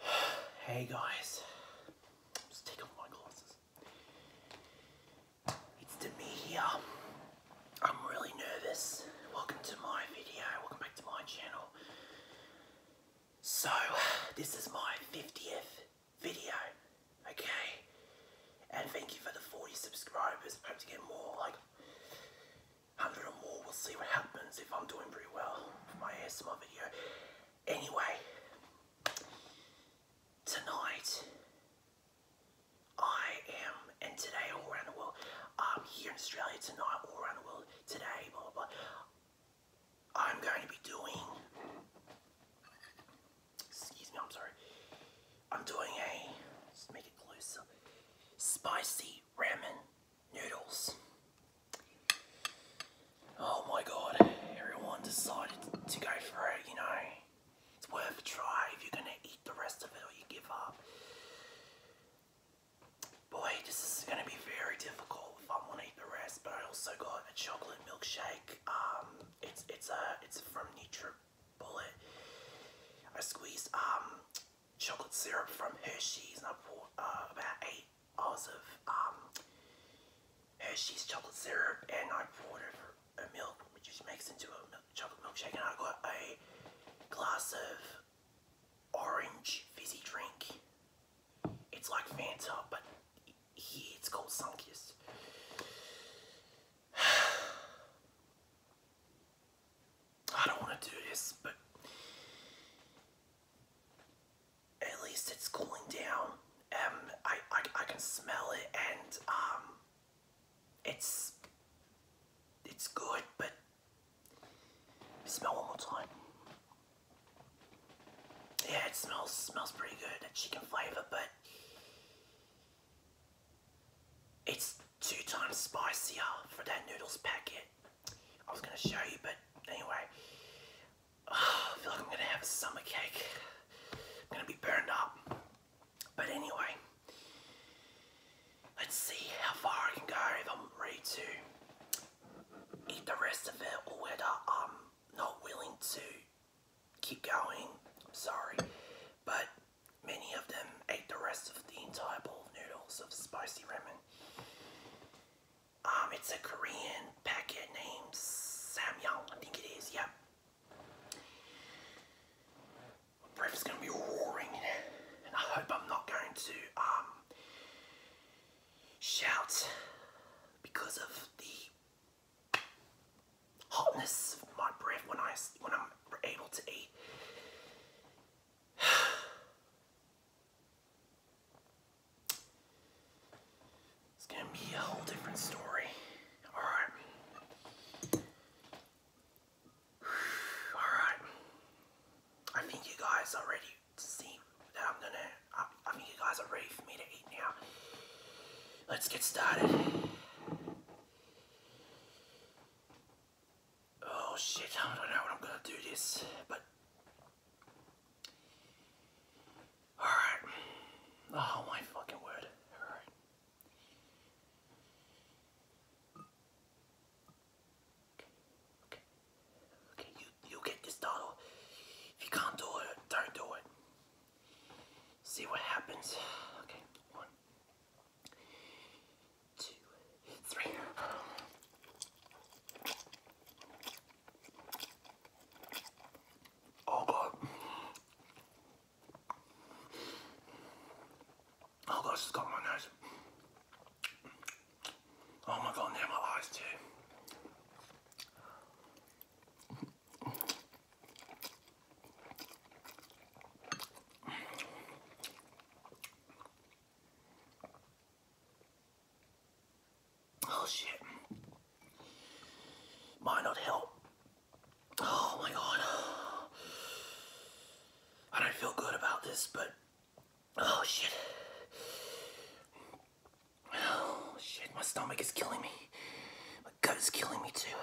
hey guys, just take off my glasses. It's to me here. I'm really nervous. Welcome to my video. Welcome back to my channel. So, this is my 50th video, okay? And thank you for the 40 subscribers. I hope to get more. Like, 100 or more, we'll see what happens if I'm doing pretty well for my ASMR video. Anyway, tonight I am, and today all around the world, I'm here in Australia tonight, all around the world, today, blah blah. I'm going to be doing Excuse me, I'm sorry. I'm doing a, just make it closer, spicy ramen noodles. Oh my god, everyone decided to go for it, you know. It's worth a try if you're gonna eat the rest of it or you give up. Boy, this is gonna be very difficult if I wanna eat the rest, but I also got a chocolate milkshake um, it's it's a it's from Nature Bullet. I squeezed um, chocolate syrup from Hershey's and I poured uh, about eight ounces of um, Hershey's chocolate syrup and I poured it over milk which is makes into a milk, chocolate milkshake and I got a glass of orange fizzy drink. It's like Fanta but yeah, it's called Sunkiest. I don't want to do this, but at least it's cooling down. Um, I, I, I can smell it and um, it's it's good, but smell one more time. Yeah, it smells smells pretty good. That chicken flavor, but it's two times spicier for that noodles packet. I was gonna show you, but anyway, ah, I feel like I'm gonna have a summer cake. I'm gonna be burned up. But anyway, let's see how far I can go if I'm ready to eat the rest of it or whether um not willing to keep going. I'm sorry. But many of them ate the rest of the entire bowl of noodles of spicy ramen. Um, it's a Korean packet named Samyang, I think it is, yep. My breath is going to be roaring, and I hope I'm not going to um, shout because of the hotness of my breath when I when I'm able to eat. It's gonna be a whole different story. All right. All right. I think you guys already that I'm gonna, I, I you guys are ready for me to eat now. Let's get started. Oh shit, I don't know when I'm gonna do this, but. Alright. Oh my fucking word. Alright. Okay, okay, okay. You you get this, Donald. If you can't do it, don't do it. See what happens. Okay, one, two, three. Oh god. Oh God, it's got my nose. Oh my god, now my eyes too. Oh shit. Might not help Oh my god. I don't feel good about this, but oh shit. Oh shit, my stomach is killing me. My gut is killing me too.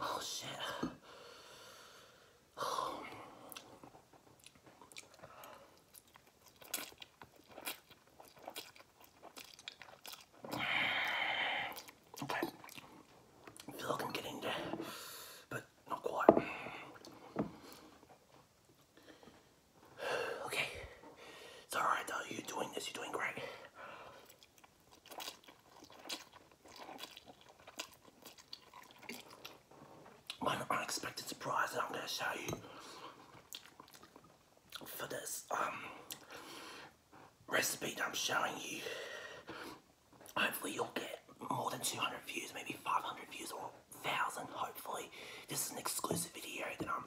Oh shit. Okay. I feel like i there, but not quite. Okay. It's alright though, you're doing this, you're doing great. One unexpected surprise that I'm going to show you for this um, recipe that I'm showing you. Hopefully you'll get more than 200 views, maybe 500 views or 1,000 hopefully. This is an exclusive video that I'm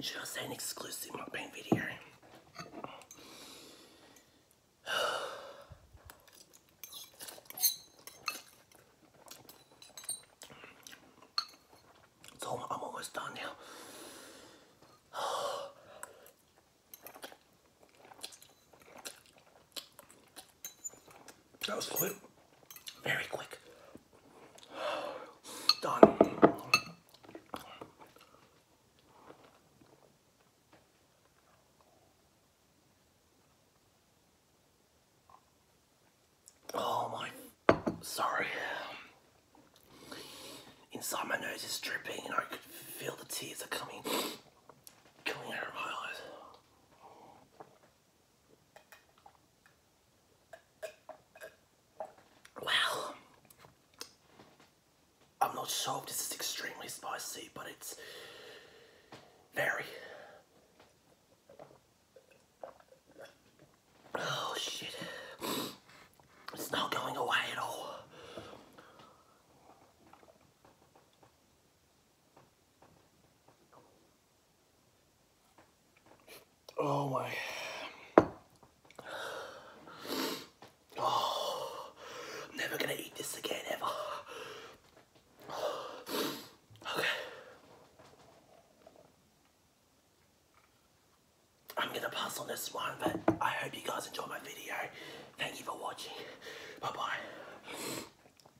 Should I say an exclusive mukbang video. I'm almost done now. that was quick. Very quick. Done. Oh my, sorry. Inside my nose is dripping and I could feel the tears are coming, coming out of my eyes. Well, I'm not sure if this is extremely spicy, but it's very. Oh shit. It's not going away at all. Oh my. Oh, I'm never gonna eat this again ever. Okay. I'm gonna pass on this one, but I hope you guys enjoy my video. Thank you for watching. Bye bye.